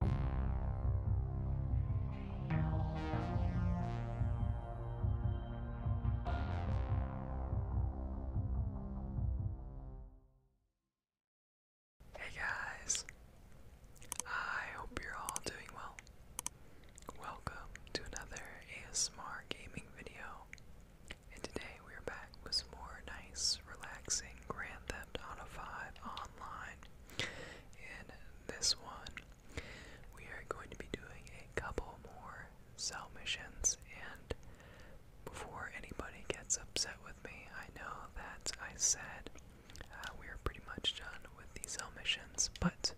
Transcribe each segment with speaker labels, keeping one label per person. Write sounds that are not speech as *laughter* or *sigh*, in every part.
Speaker 1: Hey guys, I hope you're all doing well. Welcome to another ASMR gaming video, and today we are back with some more nice, relaxing Grand Theft Auto 5 online. In this one, we are going to be doing a couple more cell missions, and before anybody gets upset with me, I know that I said uh, we are pretty much done with the cell missions, but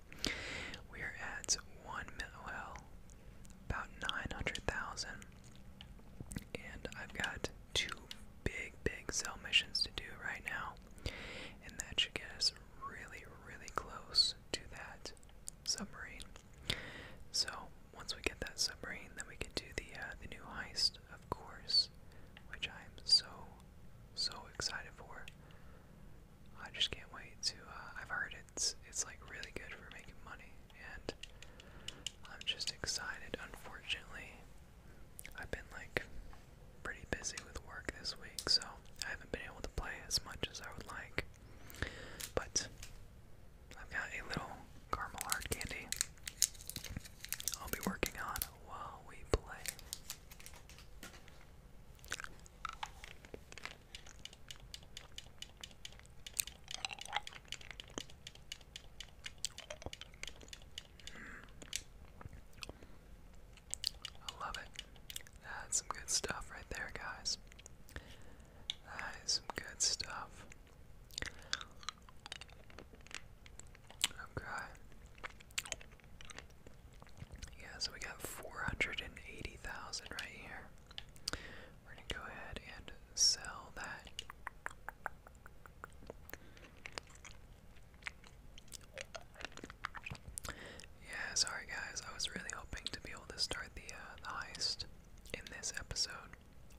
Speaker 1: we are at one well, about 900,000, and I've got two big, big cell missions to do right now. And that should get us really, really close to that submarine. So once we get that submarine, then we can do the uh, the new heist, of course, which I am so, so excited for. I just can't wait to. Uh, I've heard it's it's like really good for making money, and I'm just excited. Unfortunately, I've been like pretty busy with work this week, so I haven't been able to play as much as I would like. But I've got a little caramel hard candy I'll be working on while we play. I love it. That's some good stuff right there, guys. That is some good stuff. Okay. Yeah, so we got 480,000 right here. We're going to go ahead and sell that. Yeah, sorry guys. I was really hoping to be able to start the uh, the heist in this episode.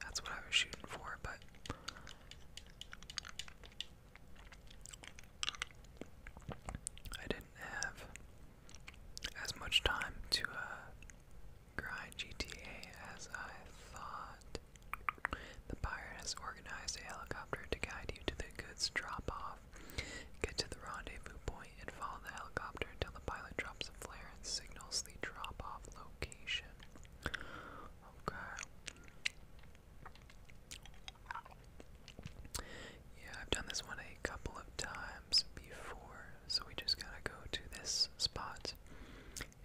Speaker 1: That's what I was shooting for, but I didn't have as much time to uh, grind GTA as I thought. The pilot has organized a helicopter to guide you to the goods drop off. Get to the rendezvous point and follow the helicopter until the pilot drops a flare and signals the drop off location. Okay. Yeah, I've done this one a couple of times before, so we just gotta go to this spot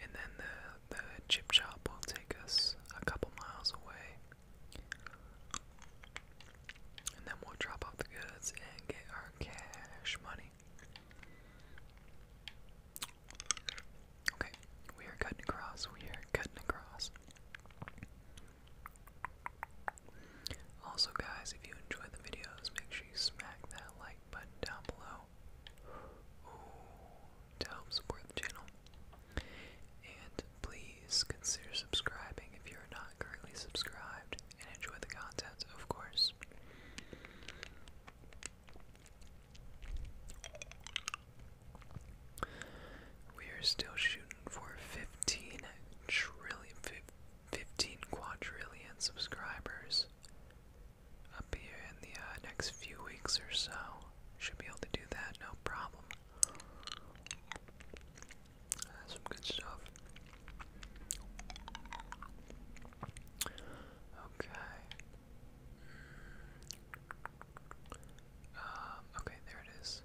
Speaker 1: and then the, the chip shop will take us a couple miles away. And then we'll drop off the goods and get our cash money. Okay, we are cutting across, we are cutting across. Also, guys, if you enjoyed the videos, make sure you smack that like button down below to help support the channel. And please consider subscribing if you're not currently subscribed and enjoy the content, of course. We are still shooting for 15 trillion, 15 quadrillion subscribers up here in the uh, next few weeks or so. Should be able to do that, no problem. That's some good stuff. Okay. Um, okay, there it is.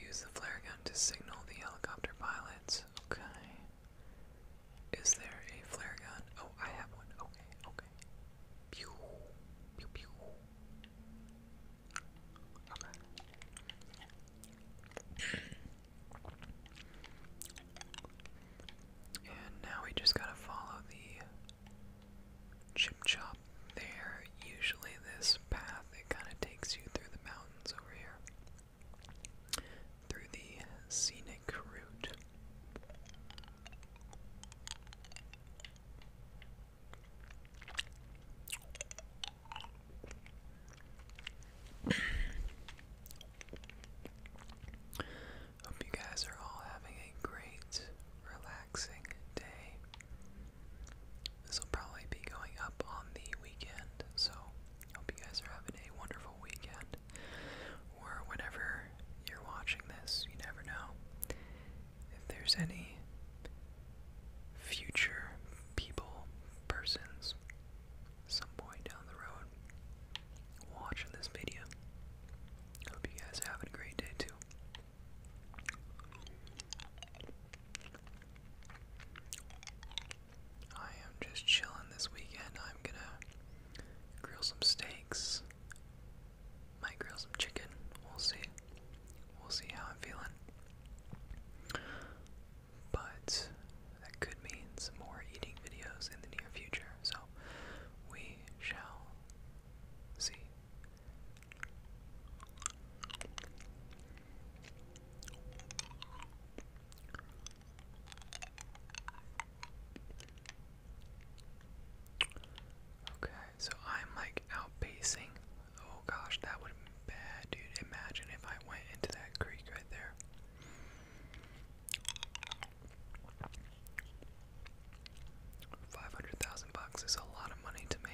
Speaker 1: Use the flare gun to signal the helicopter pilots. Okay. Is there a flare gun? Oh, I have one. Okay, okay. Pew, pew, pew. Okay. And now we just gotta follow the chip chop there. Usually, this path it kind of takes you through the mountains over here, through the scenic Hope you guys are all having a great, relaxing day. This will probably be going up on the weekend, so hope you guys are having a wonderful weekend or whenever you're watching this, you never know if there's any future people, persons, some point down the road watching this video. Hope you guys are a great day too. I am just chilling this weekend. I'm gonna grill some steaks. Might grill some chicken. We'll see. We'll see how I'm feeling. But that could mean some more eating videos in the near future. So we shall see. Okay, so I'm like outpacing. Oh gosh, that would have bad, dude. Imagine if I went into that creek right there. Five hundred thousand bucks is a lot of money to me.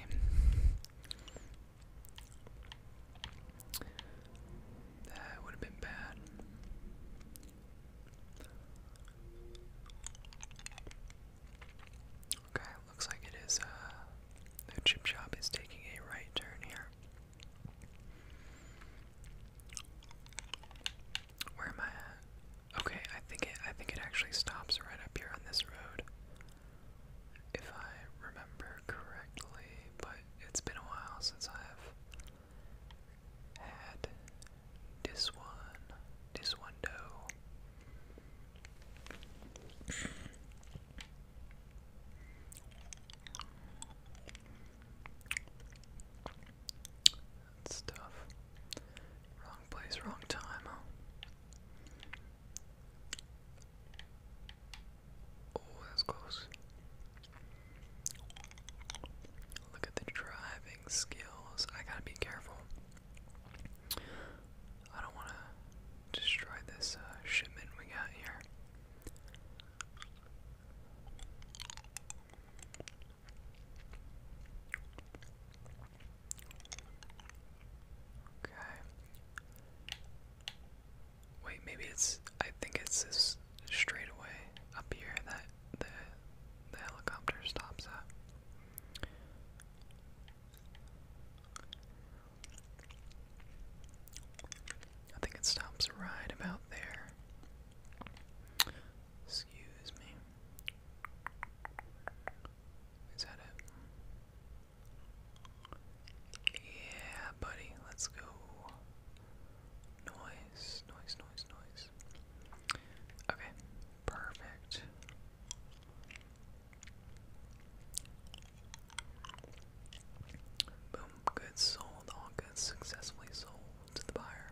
Speaker 1: That would have been bad. Okay, looks like it is, uh, chip shop is taking a right turn here. Where am I Okay, I think it, I think it actually stops right up here on this road. If I remember correctly, but it's been a while since I've had this one, this window dough. Wrong place, wrong time. Oh, that's close. Look at the driving skills. I gotta be careful. I don't want to destroy this uh, shipment we got here. Okay. Wait, maybe it's. I think it's this straightaway up here that the the helicopter stops at. I think it stops right about there. Excuse me. Is that it? Yeah, buddy, let's go. Noise, noise, noise, noise. Okay, perfect. Boom, goods sold, all goods successfully sold to the buyer.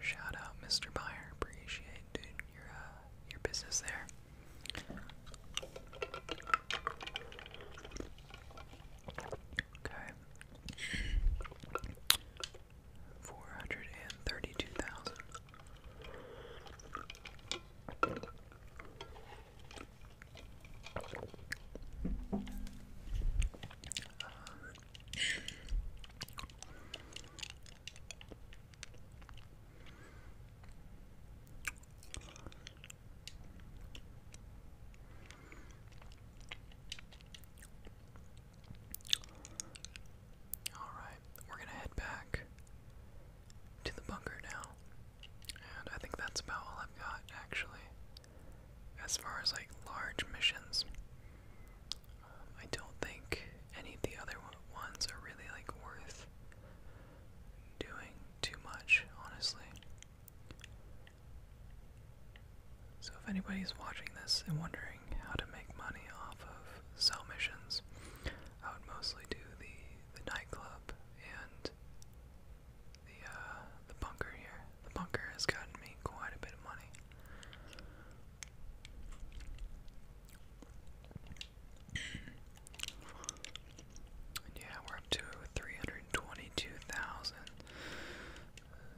Speaker 1: Shout out, Mr. Buyer, appreciate your, uh, your business there. Okay. Four hundred and thirty-two thousand. Alright, we're gonna head back to the bunker now. And I think that's about all I've got, actually. As far as like large missions, um, I don't think any of the other ones are really like worth doing too much, honestly. So, if anybody's watching this and wondering how to make money off of cell missions, I would mostly do the the nightclub and the uh, the bunker here. The bunker has gotten me quite a bit of money. Yeah, we're up to 322,000.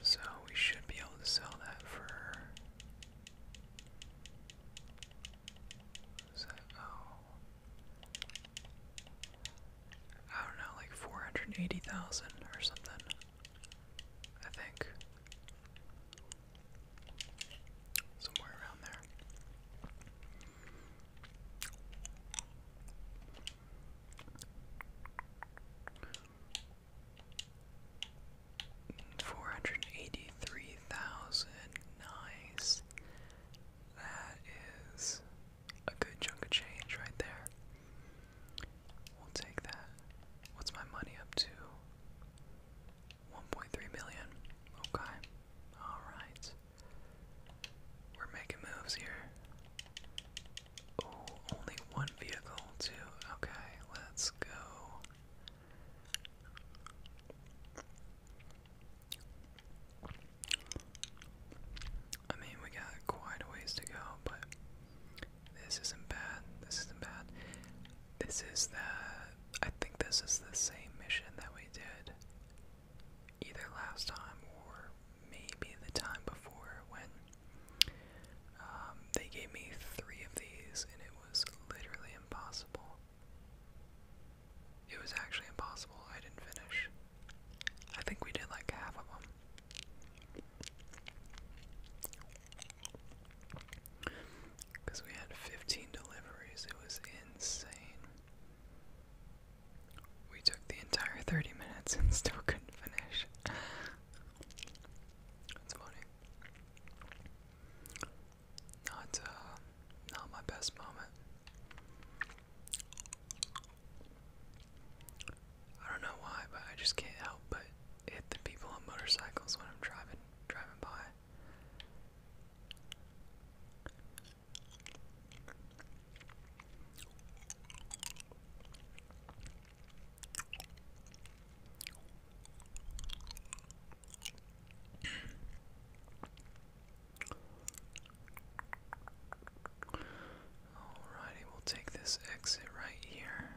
Speaker 1: So we should be able to sell that for. Oh. I don't know, like 480,000 or something. I think. Somewhere around there. Four hundred eighty three thousand. Nice. That is a good chunk of change right there. We'll take that. What's my money up to? 1.3 million. Okay. All right. We're making moves here. Oh, only one vehicle, too. Okay, let's go. I mean, we got quite a ways to go, but this isn't bad. This isn't bad. This is the. I think this is the same mission that we did either last time or maybe the time before when um, they gave me three of these and it was literally impossible. It was actually impossible. I didn't finish. I think we did like half of them. Because we had 15 deliveries, it was insane. We took the entire 30 minutes and still couldn't finish. That's funny. Not, uh, not my best moment. I don't know why, but I just can't help but hit the people on motorcycles when I'm driving, driving by. Alrighty, we'll take this exit right here.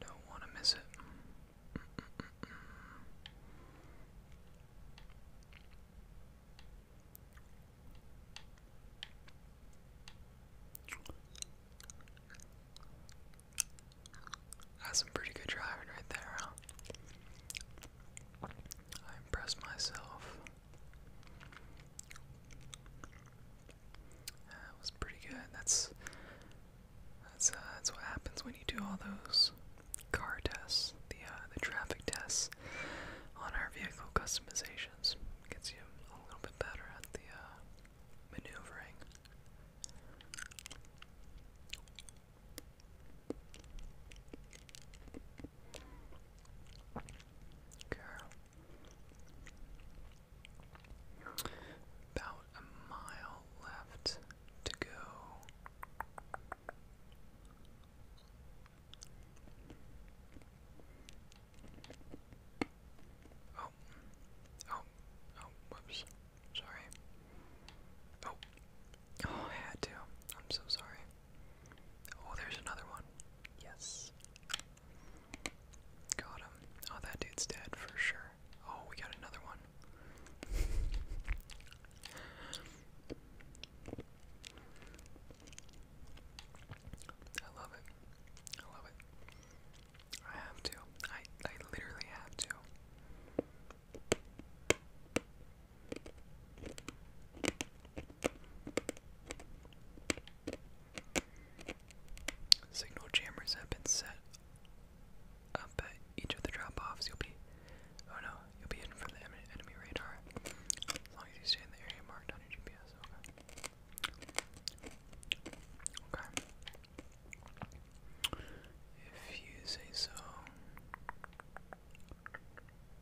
Speaker 1: Don't want to miss it. That's some pretty good driving right there, huh? I impressed myself. That was pretty good. That's that's uh, that's what happens when you do all those car tests, the uh, the traffic tests on our vehicle customizations. Gets you a little bit better at the uh, maneuvering. Okay. About a mile left to go. Oh, oh, oh, whoops. Sorry. Oh, oh, I had to. I'm so sorry. Oh, there's another one. Yes. Got him. Oh, that dude's dead for sure. Oh, we got another one. *laughs* I love it. I love it. I have to. I I literally have to. Signal jammers have been set up each of the drop-offs, you'll be, oh no, you'll be hidden from the enemy radar, as long as you stay in the area marked on your GPS, okay? If you say so,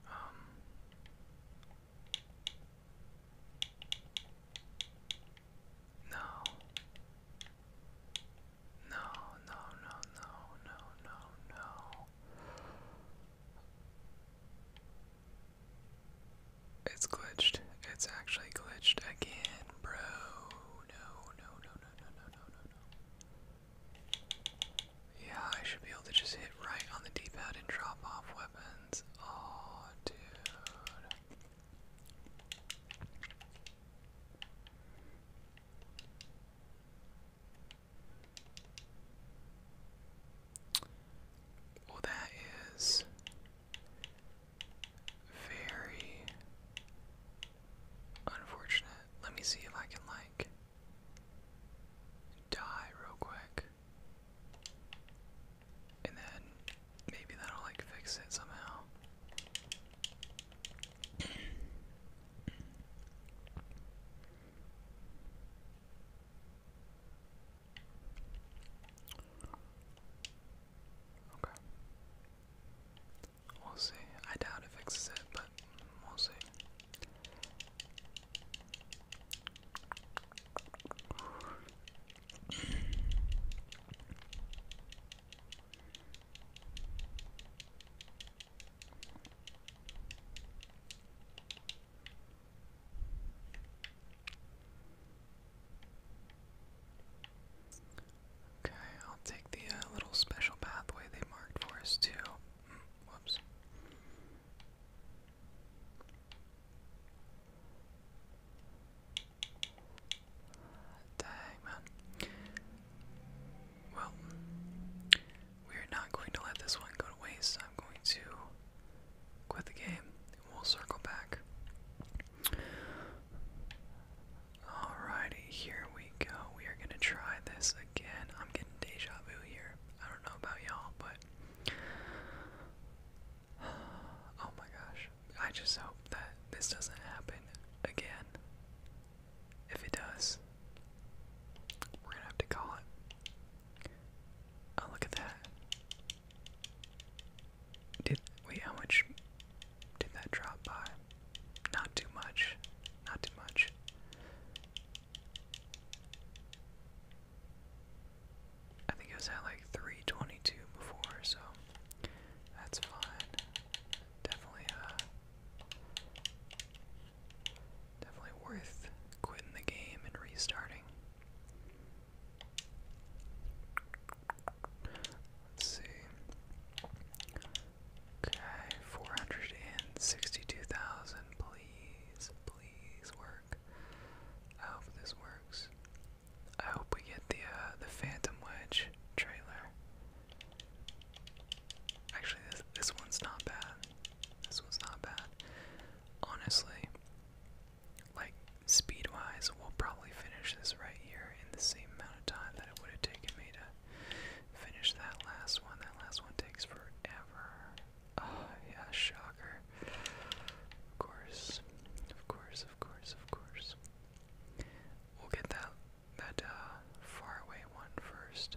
Speaker 1: um... No. No, no, no, no, no, no, no. It's glitched. It's actually glitched again, bro. No, no, no, no, no, no, no, no, no. Yeah, I should be able to just hit right on the D-pad and drop off weapons. Oh, dude. Well, that is very unfortunate. Let me see if I can, like, die real quick. And then maybe that'll, like, fix it somehow. Okay. We'll see. I doubt it fixes it, but we'll see. Okay, I'll take the uh, little special pathway they marked for us, too. Mm, whoops. Dang, man. Well, we're not going to let this one go to waste. I'm going to quit the game and we'll circle back. Alrighty, here we go. We are going to try this again. I'm getting deja vu here. I don't know about y'all, but. *sighs* Oh my gosh. I just hope that this doesn't happen again. If it does, we're gonna have to call it. Oh, look at that. Did wait? How much did that drop by? Not too much. Not too much. I think it was at like 322 before, so that's fine definitely, uh, definitely worth quitting the game and restarting. Let's see. Okay, 462,000. Please, please work. I hope this works. I hope we get the uh, the Phantom Wedge trailer. Actually, this this one's not bad. This one's not bad. Honestly, like speed-wise, we'll probably finish this right here in the same amount of time that it would have taken me to finish that last one. That last one takes forever. Oh yeah, shocker. Of course, of course, of course, of course. We'll get that that uh, faraway one first,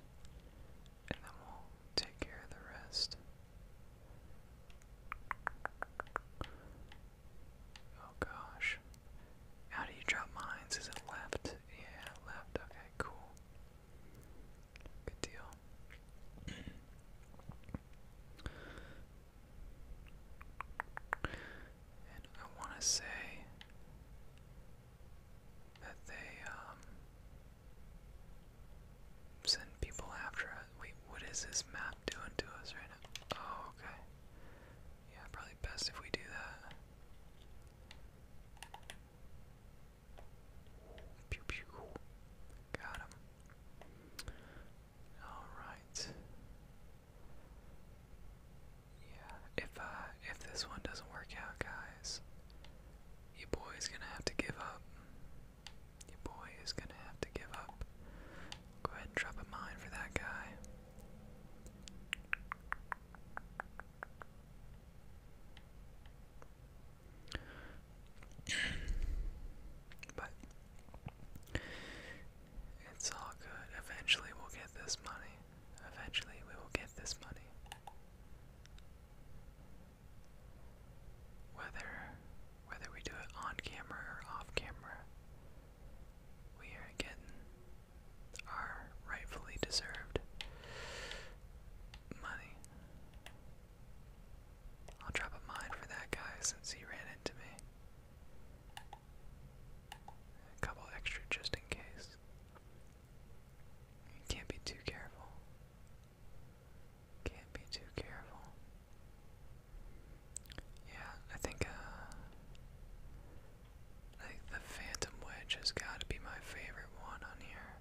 Speaker 1: and then we'll take care of the rest. Oh gosh. How do you drop mines? Is it left? Yeah, left. Okay, cool. Good deal. I want to say that they um, send people after us. Wait, what is this map doing to us right now? Oh, okay. Yeah, probably best if we do that. Pew pew. Got him. Alright. Yeah, if uh if this one doesn't work out, guys, your boy's is gonna have to give up. Your boy is gonna have to give up. Go ahead and drop a mine for that guy. *clears throat* but it's all good. Eventually we'll get this money. Eventually we will get this money. Whether whether we do it on camera or off camera, we are getting our rightfully deserved money. I'll drop a mine for that guy since he ran into me. A couple extra just in case. can't be too careful. Can't be too careful. Yeah, I think uh I the Phantom Wedge has gotta be my favorite one on here.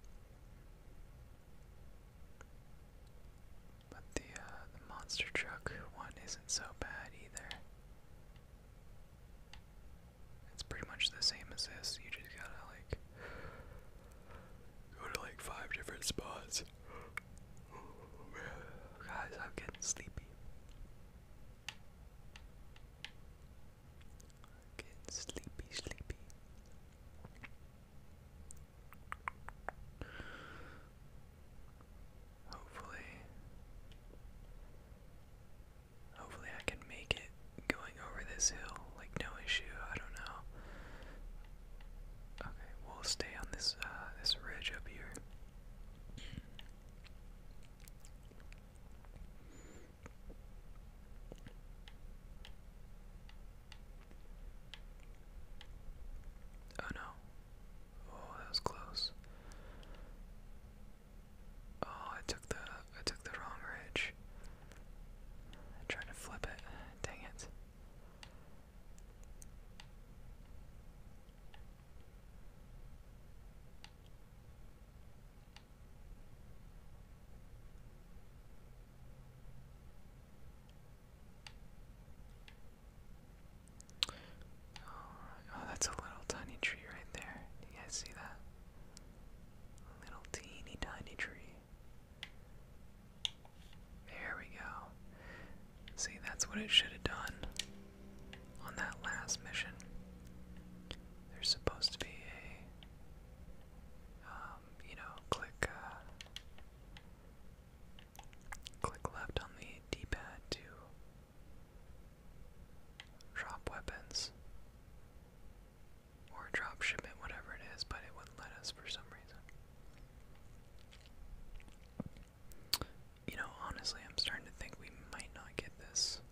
Speaker 1: But the uh, the monster truck one isn't so bad either. It's pretty much the same as this. You just gotta like go to like five different spots. *sighs* Guys, I'm getting sleepy. getting sleepy, sleepy. Hopefully, hopefully I can make it going over this hill, like no issue. I don't know. Okay, we'll stay on this uh, this ridge up here. Oh no. Oh, that was close. Oh, I took the I took the wrong ridge. I to flip it. Dang it. Oh, oh, that's a little tiny tree right there. Do you guys see that? A little teeny tiny tree. There we go. See, that's what it should have done on that last mission. There's supposed to be a, um, you know, click, uh, Click left on the D-pad to drop weapons or drop shipment, whatever it is, but it wouldn't let us for some reason. You know, honestly, I'm starting to think we might not get this.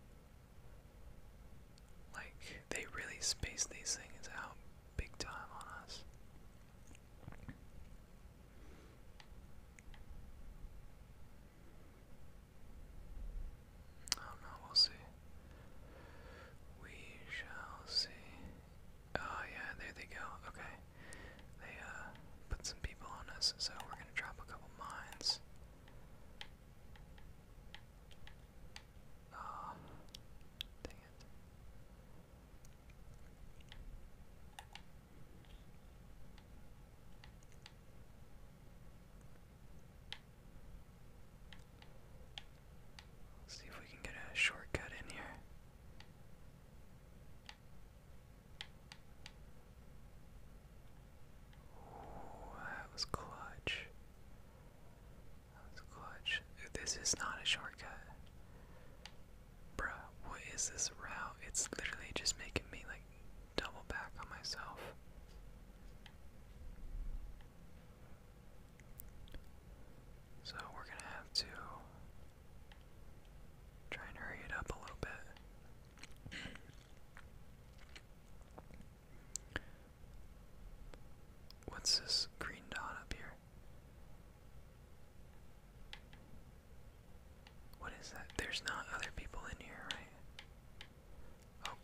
Speaker 1: Like, they really space these things out big time on us. I oh, don't know, we'll see. We shall see. Oh yeah, there they go. Okay. They uh put some people on us, so we're gonna drop a couple mines. Oh, dang it. Let's see if we can get a shortcut in here. Ooh, that was clutch. That was clutch. This is not a shortcut. Bruh, what is this route? It's literally just making me like double back on myself. So we're gonna have to try and hurry it up a little bit. What's this green dot up here? What is that? There's not other people in here, right? Oh,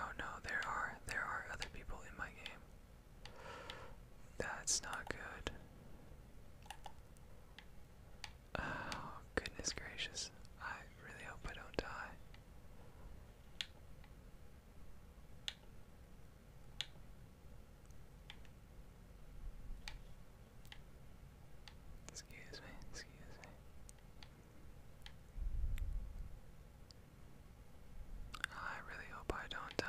Speaker 1: oh no, there are. There are other people in my game. That's not good. Oh, goodness gracious. I really hope I don't die. Excuse me, excuse me. Oh, I really hope I don't die.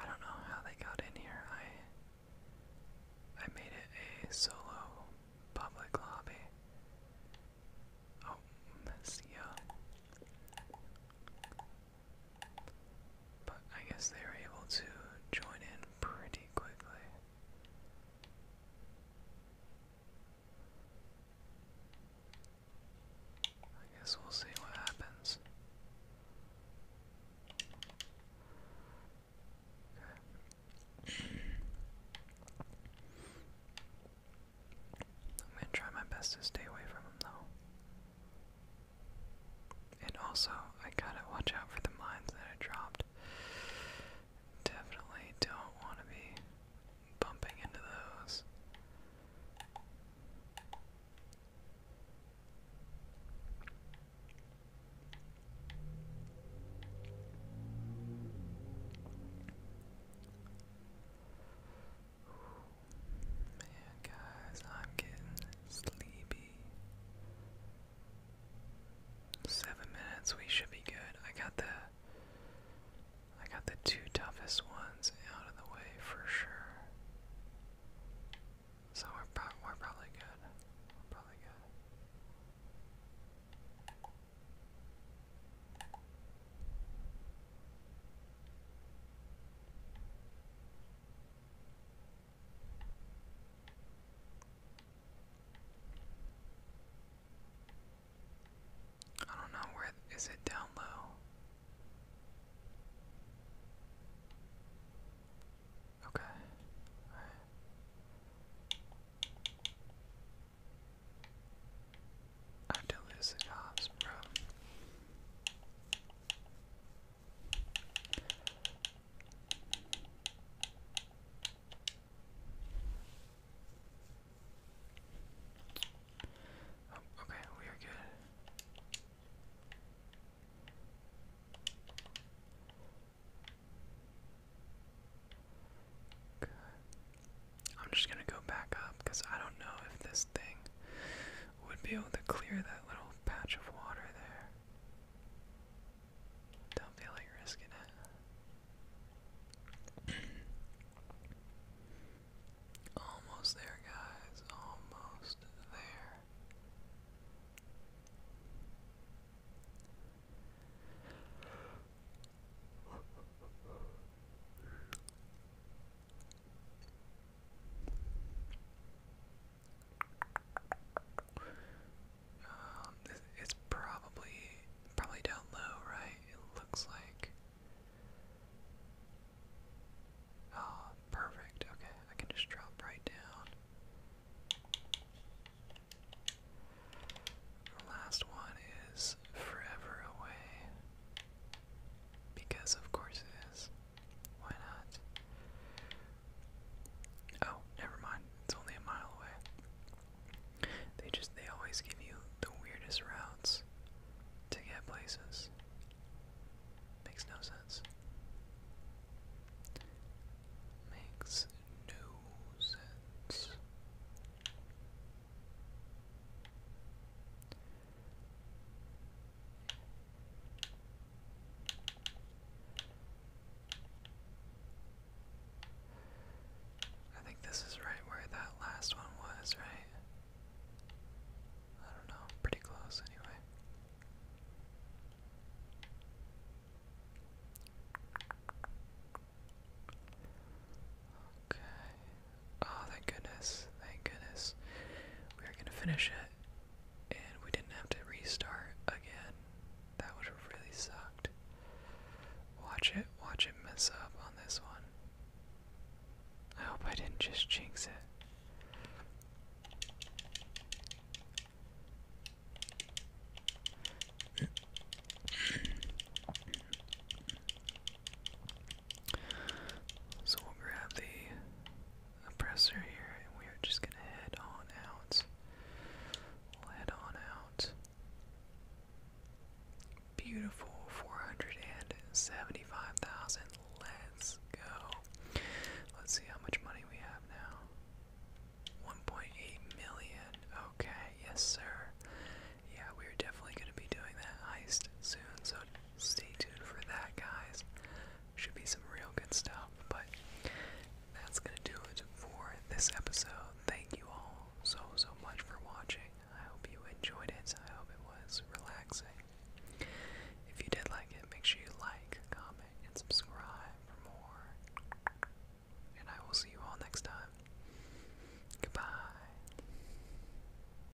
Speaker 1: I don't know how they got in here. I I made it a solo public lobby. Oh, Messia. But I guess they were able to join in pretty quickly. I guess we'll see what happens. I'm gonna try my best to stay away from him though. And also, I gotta watch out for the mines that I dropped. Definitely don't want to be bumping into those. Man, guys, I'm getting sleepy. Seven minutes, we should be good. I got the I got the two toughest ones out of the way for sure. So we're, probably good. We're probably good. I don't know where is it down low. Okay. I have to lose the jobs, bro. Oh, okay, we are Good. I'm just gonna go back up because I don't know if this thing would be able to clear that little patch of water there. Don't feel like risking it. *clears throat* almost there, guys. Almost there. Um, it's probably probably down low, right? It looks like. Oh, perfect. Okay, I can just drop right down. The last one is forever away. Because of course it is. Why not? Oh, never mind. It's only a mile away. They just, they always give you the weirdest routes to get places. Makes no sense. Makes no sense. I think this is right where that last one was, right? I don't know, pretty close anyway. Okay. Oh, thank goodness. Thank goodness. We are going to finish it, and we didn't have to restart again. That would have really sucked. Watch it. Watch it mess up on this one. I hope I didn't just jinx it. So we'll grab the oppressor here and we are just going to head on out. head on out. Beautiful 475,000. Let's go. Let's see how much money we have now. 1.8 million. Okay, yes, sir. Yeah, we're definitely going to be doing that heist soon, so stay tuned for that, guys. Should be some real good stuff, but that's gonna do it for this episode. Thank you all so, so much for watching. I hope you enjoyed it. I hope it was relaxing. If you did like it, make sure you like, comment, and subscribe for more. And I will see you all next time. Goodbye.